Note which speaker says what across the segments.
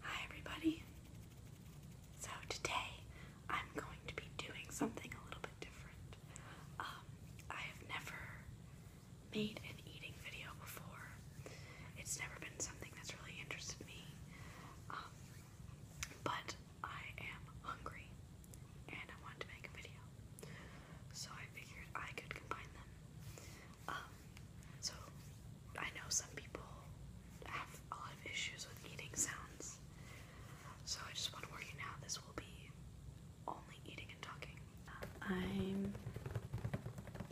Speaker 1: Hi everybody. So today I'm going to be doing something a little bit different. Um, I have never made an eating video before. It's never been something that's really interested me. Um, but I am hungry and I wanted to make a video. So I figured I could combine them. Um, so I know some people have a lot of issues with eating sounds. So I just want to warn you now, this will be only eating and talking. I'm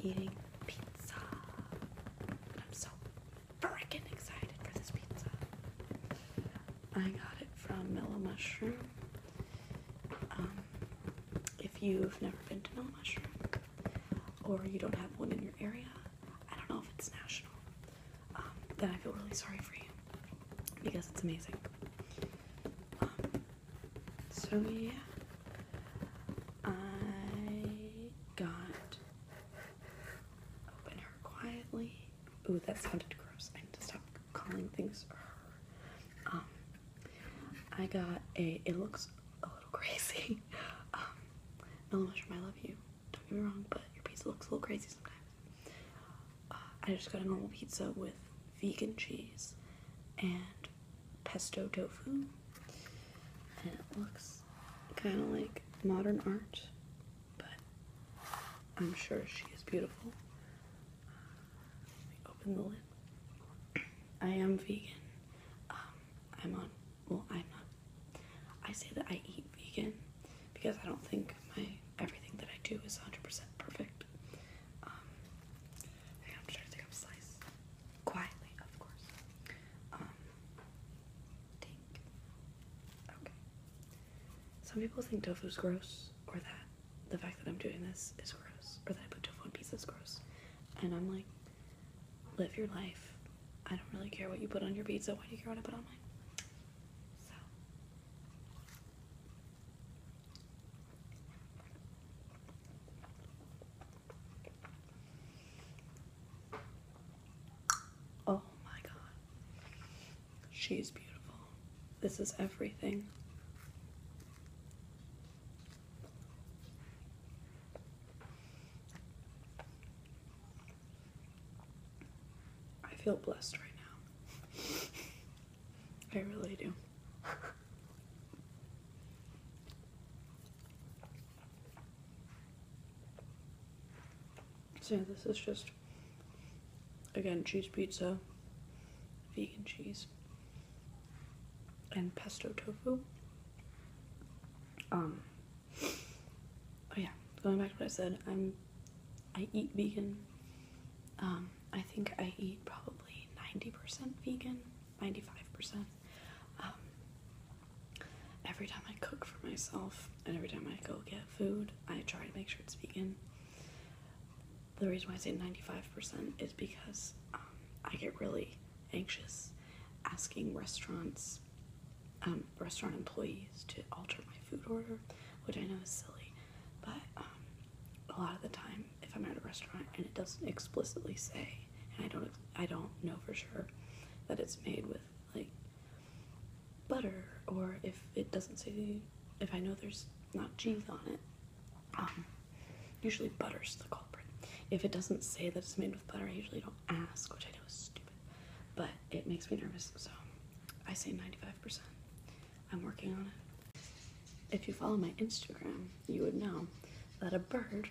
Speaker 1: eating pizza. I'm so freaking excited for this pizza. I got it from Mellow Mushroom. Um, if you've never been to Mellow Mushroom, or you don't have one in your area, I don't know if it's national, um, then I feel really sorry for you because it's amazing. Um, so, yeah, I got open her quietly. Ooh, that sounded gross. I need to stop calling things her. Um, I got a, it looks a little crazy. Mushroom, I love you. Don't get me wrong, but your pizza looks a little crazy sometimes. Uh, I just got a normal pizza with vegan cheese and pesto tofu, and it looks kind of like modern art, but I'm sure she is beautiful. Uh, let me open the lid. I am vegan. Um, I'm on well, I'm not. I say that I eat vegan because I don't think my everything that I do is 100% perfect. Um, I'm trying to take up slice quietly, of course. Um, okay. Some people think tofu is gross, or that the fact that I'm doing this is gross, or that I put tofu in pieces is gross, and I'm like, live your life. I don't really care what you put on your pizza. Why do you care what I put on mine? Oh my god. She's beautiful. This is everything. I feel blessed right now. I really do. See, this is just again cheese pizza, vegan cheese, and pesto tofu. Um Oh yeah, going back to what I said, I'm I eat vegan. Um, I think I eat probably 90% vegan, 95%. Um, every time I cook for myself and every time I go get food, I try to make sure it's vegan. The reason why I say 95% is because um, I get really anxious asking restaurants um, restaurant employees to alter my food order, which I know is silly, but um, a lot of the time, if I'm at a restaurant and it doesn't explicitly say, and I don't, I don't know for sure that it's made with like butter, or if it doesn't say, if I know there's not cheese on it, um, usually butter's the culprit. If it doesn't say that it's made with butter, I usually don't ask, which I know is stupid, but it makes me nervous. So I say 95%. I'm working on it. If you follow my Instagram, you would know that a bird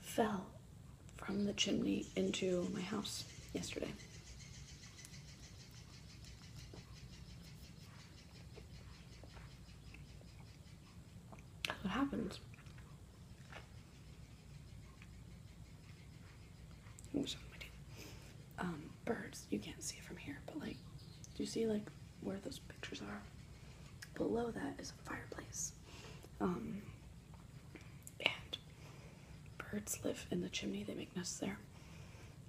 Speaker 1: fell from the chimney into my house yesterday. what happened? Um, birds. You can't see it from here, but like, do you see like where those pictures are? Below that is a fireplace. Um, and birds live in the chimney. They make nests there.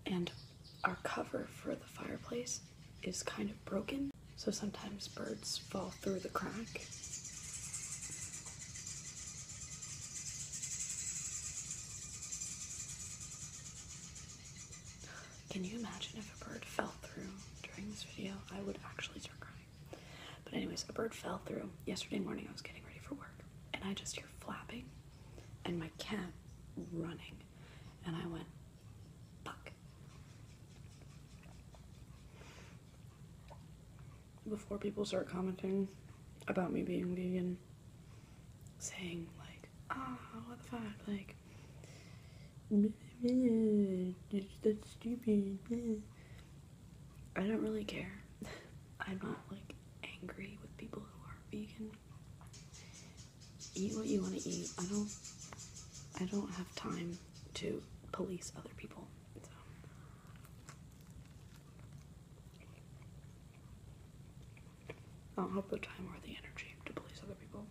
Speaker 1: And our cover for the fireplace is kind of broken, so sometimes birds fall through the crack. Can you imagine if a bird fell through during this video? I would actually start crying. But anyways, a bird fell through. Yesterday morning I was getting ready for work and I just hear flapping and my cat running and I went, fuck before people start commenting about me being vegan, saying like, ah, oh, what the fuck, like, that's stupid. I don't really care. I'm not like angry with people who are vegan. Eat what you want to eat. I don't. I don't have time to police other people. I don't have the time or the energy to please other people.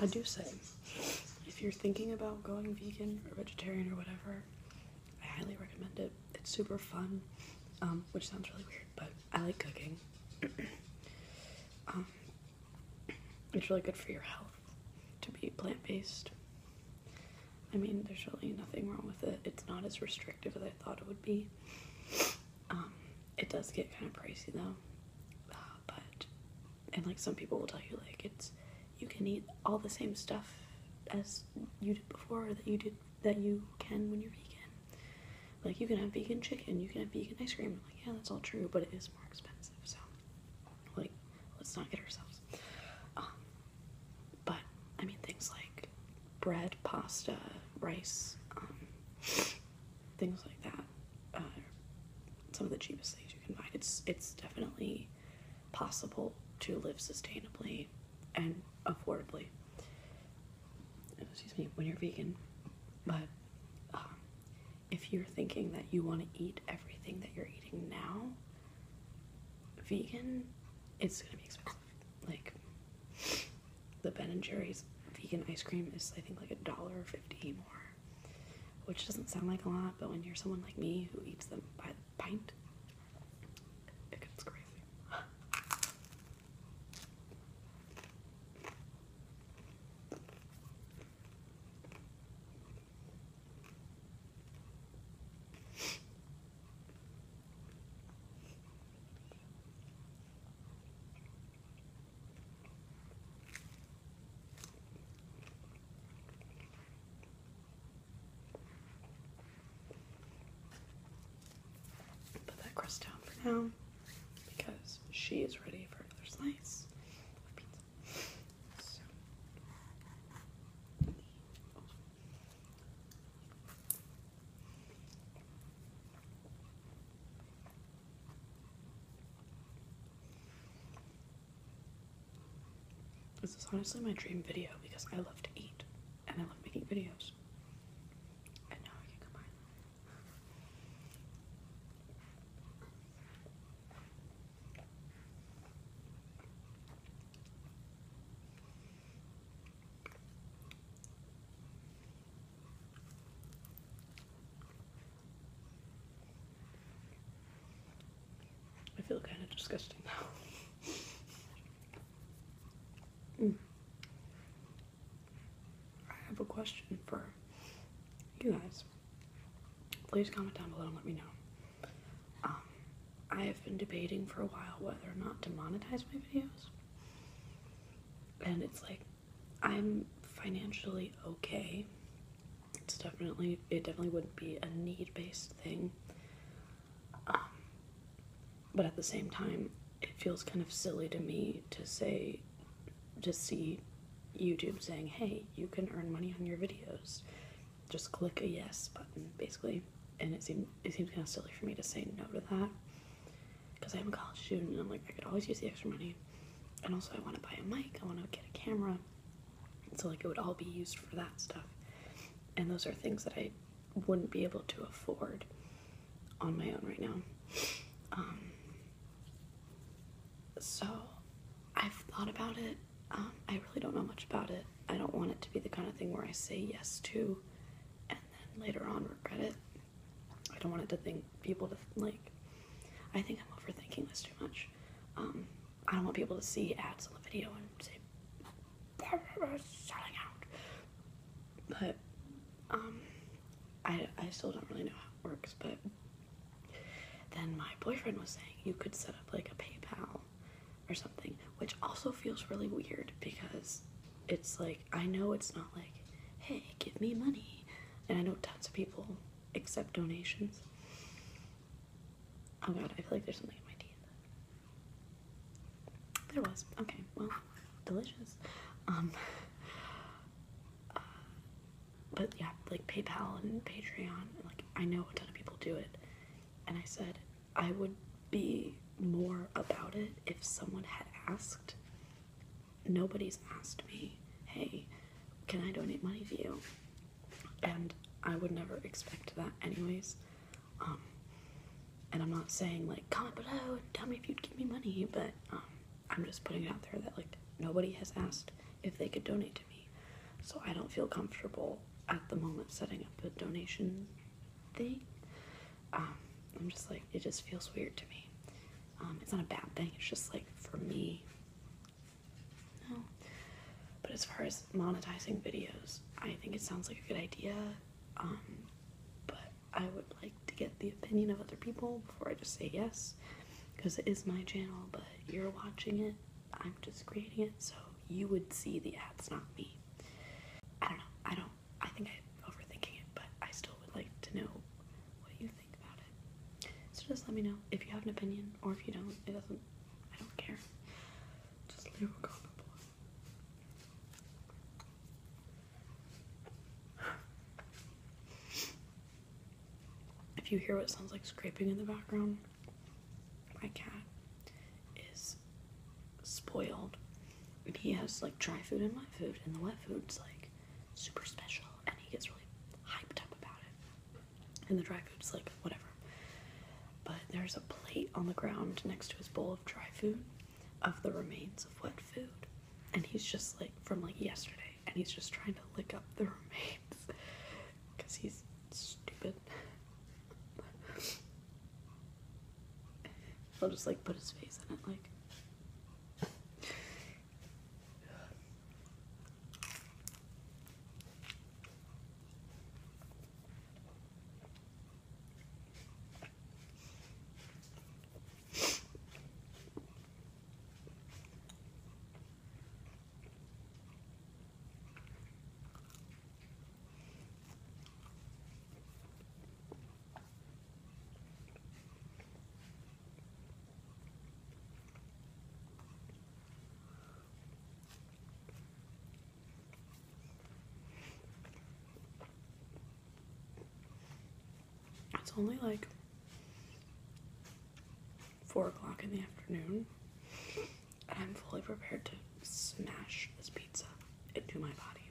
Speaker 1: I do say, if you're thinking about going vegan or vegetarian or whatever, I highly recommend it. It's super fun, um, which sounds really weird, but I like cooking. Um, it's really good for your health to be plant based. I mean, there's really nothing wrong with it. It's not as restrictive as I thought it would be. Um, it does get kind of pricey though, uh, but and like some people will tell you like it's you can eat all the same stuff as you did before that you did that you can when you're vegan. Like you can have vegan chicken, you can have vegan ice cream. like yeah, that's all true, but it is more expensive. So like let's not get ourselves. Um, but I mean things like bread, pasta, rice, um, things like that. some of the cheapest things you can buy. It's it's definitely possible to live sustainably and affordably. Excuse me, when you're vegan, but um, if you're thinking that you want to eat everything that you're eating now, vegan, it's gonna be expensive. Like the Ben and Jerry's vegan ice cream is I think like a dollar fifty more, which doesn't sound like a lot, but when you're someone like me who eats them by the pint, it gets crazy. Put that crust down for now because she is ready for another slice of pizza. This is honestly my dream video because I love to eat and I love making videos. And now I can combine I feel kind of disgusting now. mm. I have a question for you guys. Please comment down below and let me know. Um, I have been debating for a while whether or not to monetize my videos and it's like I'm financially okay. It's definitely it definitely wouldn't be a need-based thing. Um, but at the same time, it feels kind of silly to me to say to see YouTube saying, "Hey, you can earn money on your videos. Just click a yes button, basically." And it seems it seems kind of silly for me to say no to that because I'm a college student and I'm like, I could always use the extra money. And also, I want to buy a mic, I want to get a camera. so, like, it would all be used for that stuff. And those are things that I wouldn't be able to afford on my own right now. Um, so, I've thought about it. Um, I really don't know much about it. I don't want it to be the kind of thing where I say yes to and then later on regret it. I don't want it to think people to like. I think I'm overthinking this too much. Um, I don't want people to see ads on the video and say selling out. But um, I I still don't really know how it works. But then my boyfriend was saying you could set up like a PayPal or something, which also feels really weird because it's like I know it's not like, hey, give me money. And I know tons of people accept donations. Oh god, I feel like there's something in my teeth. There was. Okay, well, delicious. Um, uh, but yeah, like PayPal and Patreon, like I know a ton of people do it. And I said, I would be more about it if someone had asked. Nobody's asked me, hey, can I donate money to you? And I would never expect that, anyways. Um, and I'm not saying, like, comment below tell me if you'd give me money, but um, I'm just putting it out there that, like, nobody has asked if they could donate to me. So I don't feel comfortable at the moment setting up a donation thing. Um, I'm just like, it just feels weird to me. Um, it's not a bad thing, it's just like for me. No. But as far as monetizing videos, I think it sounds like a good idea. Um, but I would like to get the opinion of other people before I just say yes. Because it is my channel, but you're watching it. I'm just creating it, so you would see the ads, not me. I don't know. I don't I think I'm overthinking it, but I still would like to know what you think about it. So just let me know if you have an opinion or if you don't. It doesn't, I don't care. Just leave a comment below. If you hear what sounds like scraping in the background, my cat is spoiled. And he has like dry food and wet food, and the wet food's like super special, and he gets really hyped up about it. And the dry food's like whatever. But there's a plate on the ground next to his bowl of dry food of the remains of wet food. And he's just like from like yesterday, and he's just trying to lick up the remains because he's stupid. I'll just like put his face in it, like. It's only like four o'clock in the afternoon, and I'm fully prepared to smash this pizza into my body.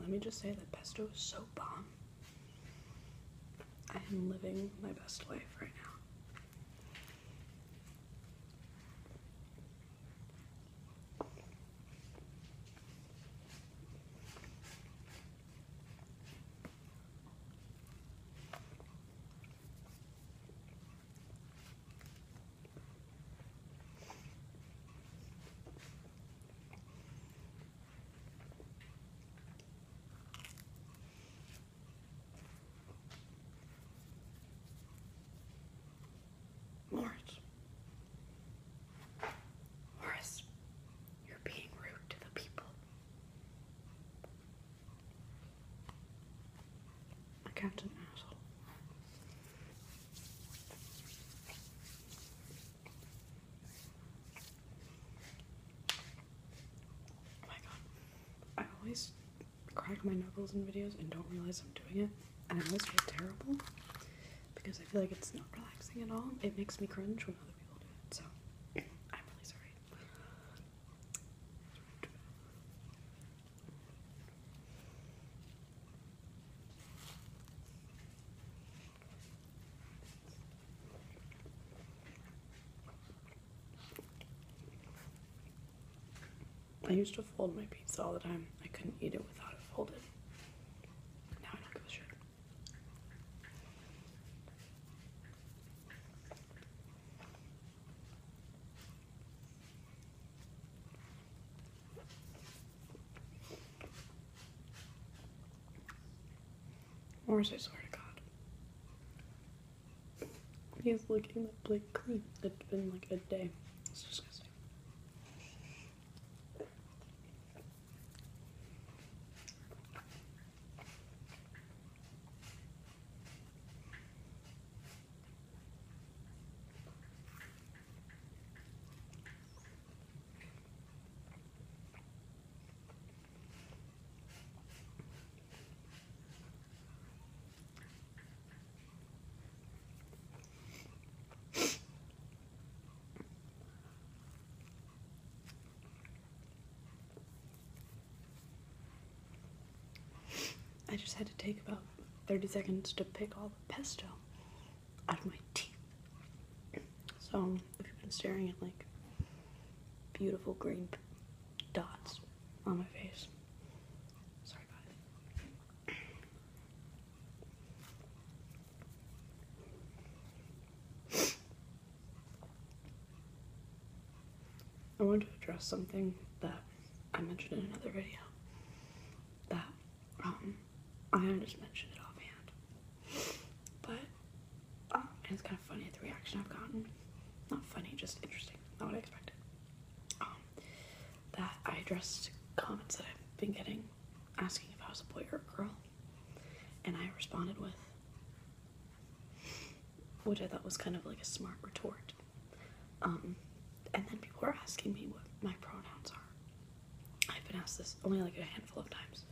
Speaker 1: Let me just say that pesto is so bomb. I am living my best life right now. Lawrence. Horace, you're being rude to the people. My captain asshole. Oh my god. I always crack my knuckles in videos and don't realize I'm doing it. And I always feel terrible because I feel like it's not relaxing at all. It makes me cringe when other people do it. So I'm really sorry. I used to fold my pizza all the time. I couldn't eat it without it folded. Now I don't give a shit. Or I swear to God. He's looking like Blake clean. It's been like a day. It's disgusting. I just had to take about 30 seconds to pick all the pesto out of my teeth. So if you've been staring at like beautiful green dots on my face, sorry about it. I wanted to address something that I mentioned in another video that um, I just mentioned it offhand but oh, it's kind of funny at the reaction I've gotten. Not funny, just interesting. Not what I expected. Um, that I addressed comments that I've been getting asking if I was a boy or a girl, and I responded with, which I thought was kind of like a smart retort. Um, and then people were asking me what my pronouns are. I've been asked this only like a handful of times.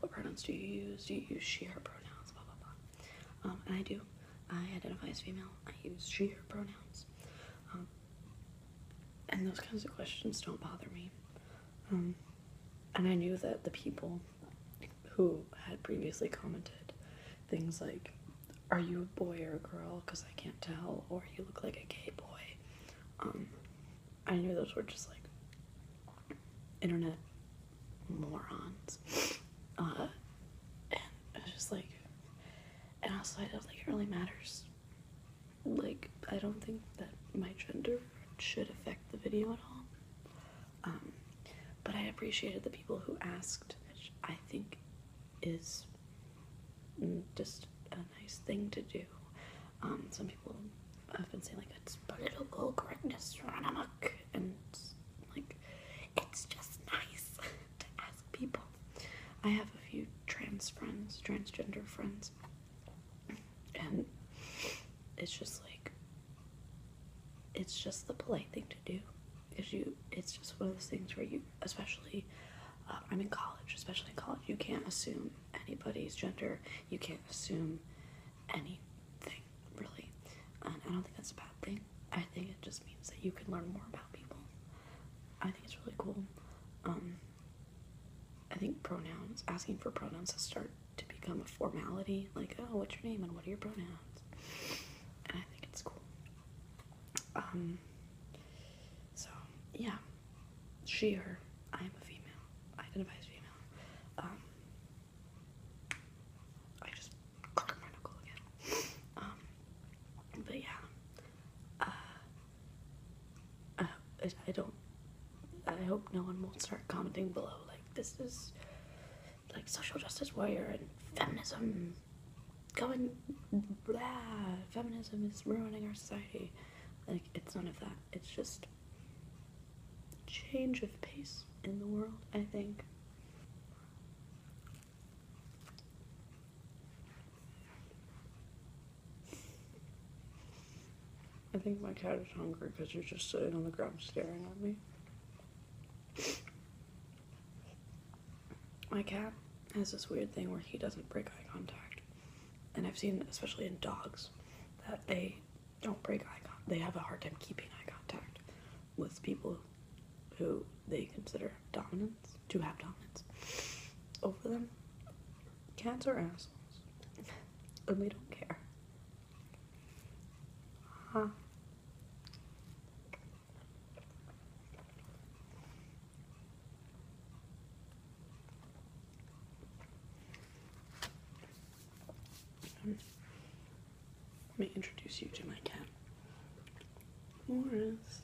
Speaker 1: What pronouns do you use? Do you use she, her pronouns? Blah, blah, blah. Um, I do. I identify as female. I use she, her pronouns. Um, and those kinds of questions don't bother me. Um, and I knew that the people who had previously commented things like, Are you a boy or a girl? Because I can't tell, or you look like a gay boy. I knew those were just like internet morons. Uh, and I was like, I don't it really matters. Like, I don't think that my gender should affect the video at all. Um, but I appreciated the people who asked, I think is mm, just a nice thing to do. Um, some people I've been saying like it's political correctness run amok, and like it's just nice to ask people. I have a few trans friends, transgender friends, and it's just like it's just the polite thing to do. Is you, it's just one of those things where you, especially, uh, I'm in college, especially in college, you can't assume anybody's gender. You can't assume anything really. And um, I don't think that's a bad thing. I think it just means that you can learn more about people. I think it's really cool. Um, I think pronouns, asking for pronouns has started to become a formality. Like, oh, what's your name and what are your pronouns? And I think it's cool. Um, so, yeah she, her, I am a female, I identify as female, um, I just cracked my knuckle again, um, but yeah, uh, uh, I don't, I hope no one will start commenting below, like, this is, like, social justice warrior and feminism, going, blah, feminism is ruining our society, like, it's none of that, it's just change of pace in the world, I think. I think my cat is hungry because you're just sitting on the ground staring at me. My cat has this weird thing where he doesn't break eye contact. And I've seen, especially in dogs, that they don't break eye contact. They have a hard time keeping eye contact with people who they consider dominance, to have dominance over them. Cats are assholes, and they don't care. Huh let me introduce you to my cat. Morris,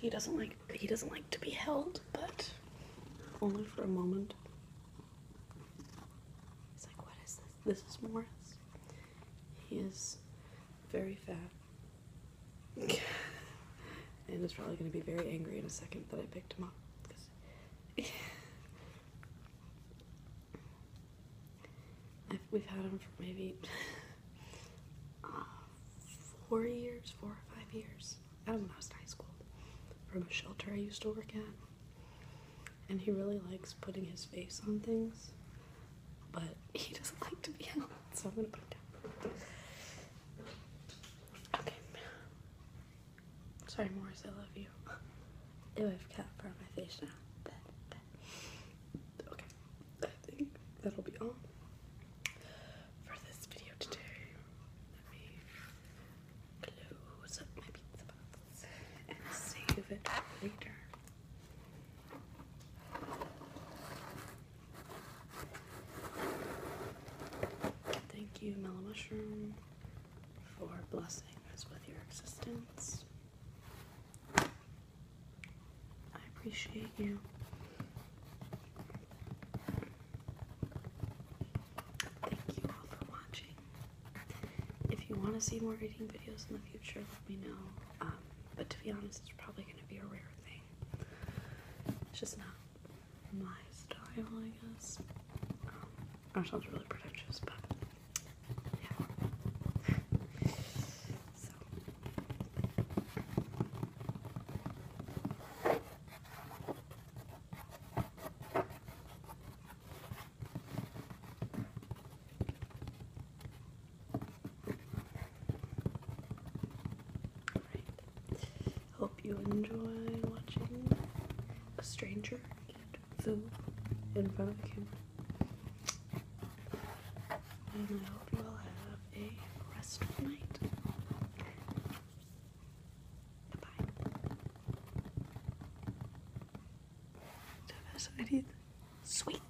Speaker 1: He doesn't like he doesn't like to be held, but only for a moment. He's like, what is this? This is Morris. He is very fat and he's probably going to be very angry in a second that I picked him up. we we've had him for maybe uh, four years, four or five years. out of not high school. From a shelter I used to work at. And he really likes putting his face on things, but he doesn't like to be held, so I'm going to put him down. Okay. Sorry, Morris, I love you. Ew, I've got part of my face now. But, Okay, I think that'll be all for this video today. Let me close up my pizza box and save it later. Thank you, Mellow Mushroom, for blessing us with your existence. I appreciate you. Thank you all for watching. If you want to see more reading videos in the future, let me know. Um, but to be honest, it's probably going to be a rare thing. It's just not my style, I guess. Um, really pretentious, but yeah. Alright. Hope you enjoy watching a stranger in front of the camera. And I hope you all have a restful night. Goodbye. That is I need sweet.